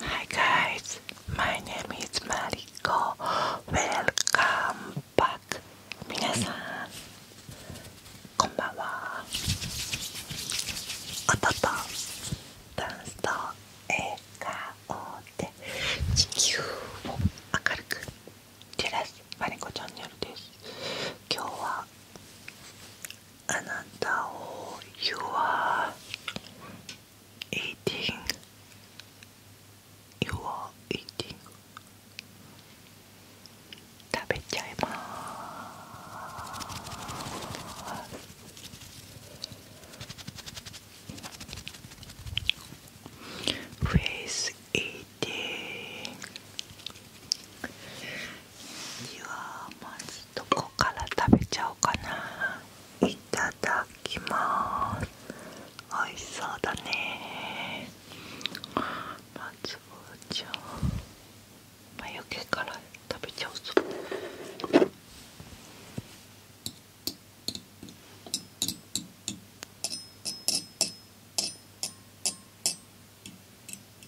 Hi guys, my name is Mariko. Welcome back. 皆さん、こんばんは。音とダンスと笑顔で地球を明るく照らすマリコチャンネルです。今日はあなたを You are eating You are eating 食べちゃいますフェイス eating ではまずどこから食べちゃおうかないただきますおいしそうだねまずじゃあ眉毛から食べちゃうぞうん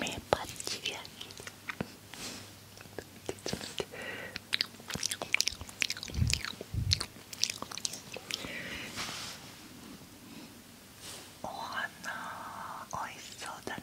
目パッチリやちょっと待ってお花おいしそうだね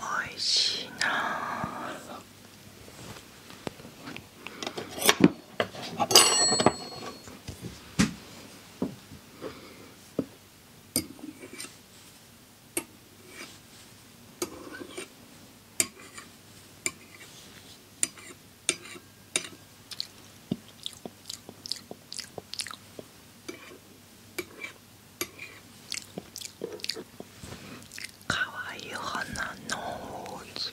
おいしいなかわいい花のーズ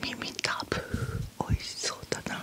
耳たぶおいしそうだな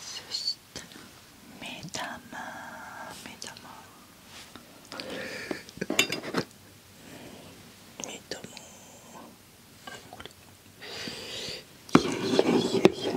そしたら目玉目玉目玉これいやいやいやいや。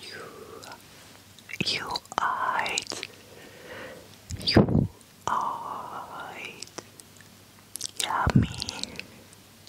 You, you are You are Yummy.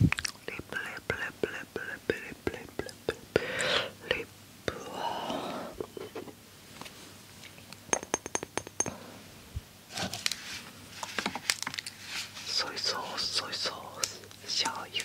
lip, lip, lip, lip, lip, lip, lip, lip, lip, lip. Soy sauce, soy sauce, shoyu.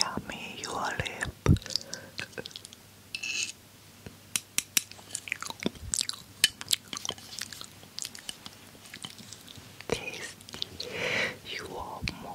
Yummy, your lip. Tasty, you are more.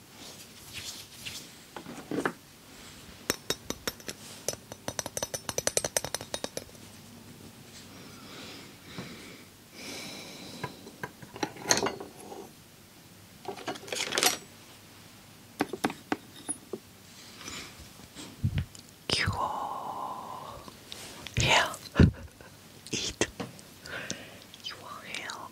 Cure. Yeah. Eat. You are hell.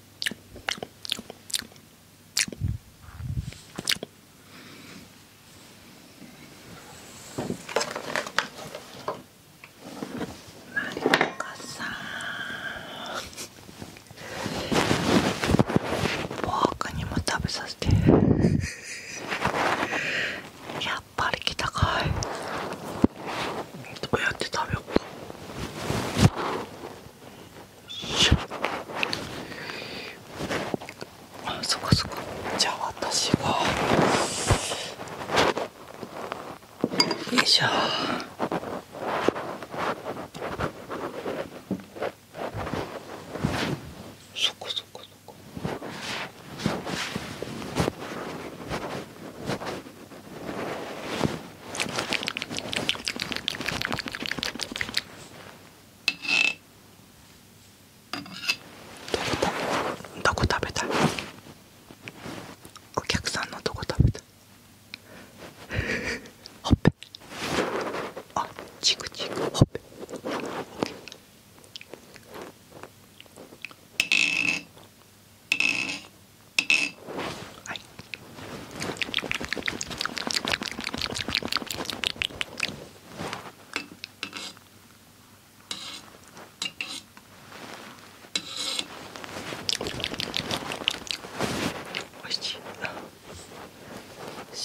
マリコさん僕にも食べさせてやっぱり来たかいどうやって食べようかしあそこそこ。じゃあ私がよいしょそっかそこ。そっどこ食べたいお客さんのどこ食べたいほっぺあチクチクほっぺはいおいしい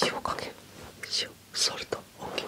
塩かけ塩ソルト OK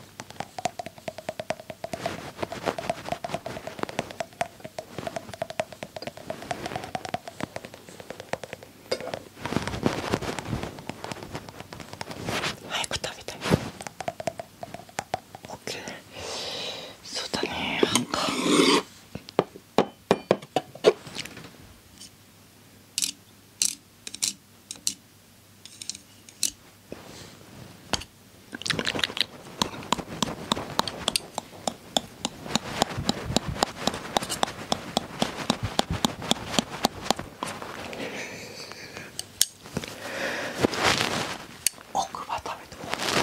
早く食べたい OK そうだねなんか奥歯食べて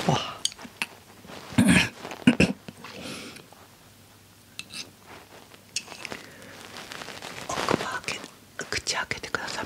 奥奥歯開け口開けてください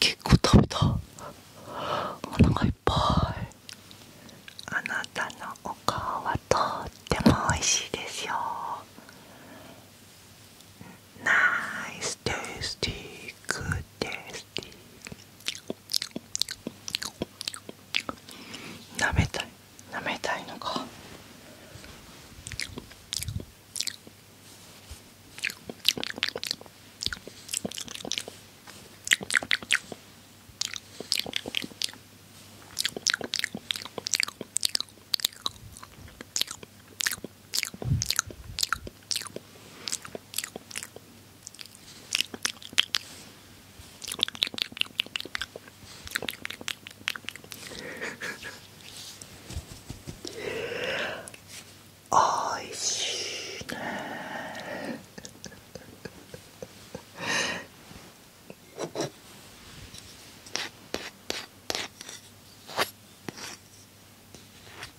結構食べたお腹いっぱいあなたのお顔はとっても美味しいですよ Nice, tasty, good, tasty. Nametai, nametai no ka. おいしいね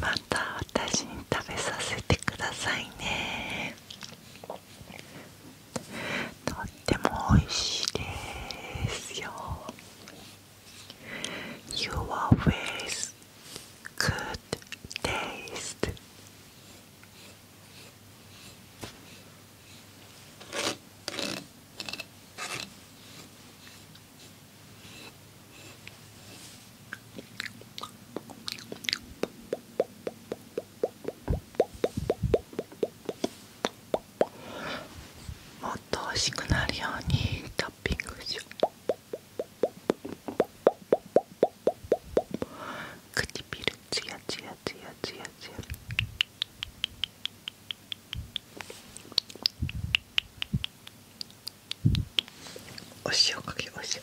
また私に食べさせてくださいねとっても美味しいですよ You always good taste もっと美味しくなるようにトッピングしよう唇ツヤツヤツヤツヤツヤお塩かけようお塩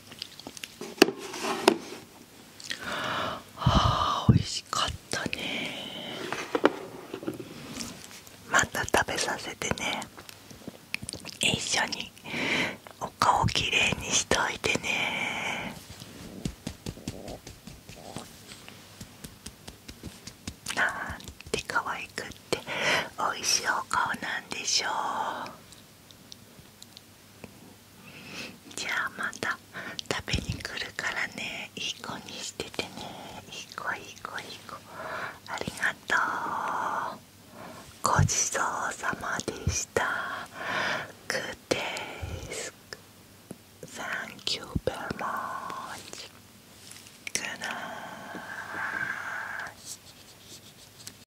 あー美味しかったねまた食べさせてね一緒にお顔きれいにしといてねなんて可愛くって美味しいお顔なんでしょうじゃあまた食べに来るからねいい子にしててねいい子いい子いい子ありがとうごちそうさまでしたグッデイス Thank you very m u c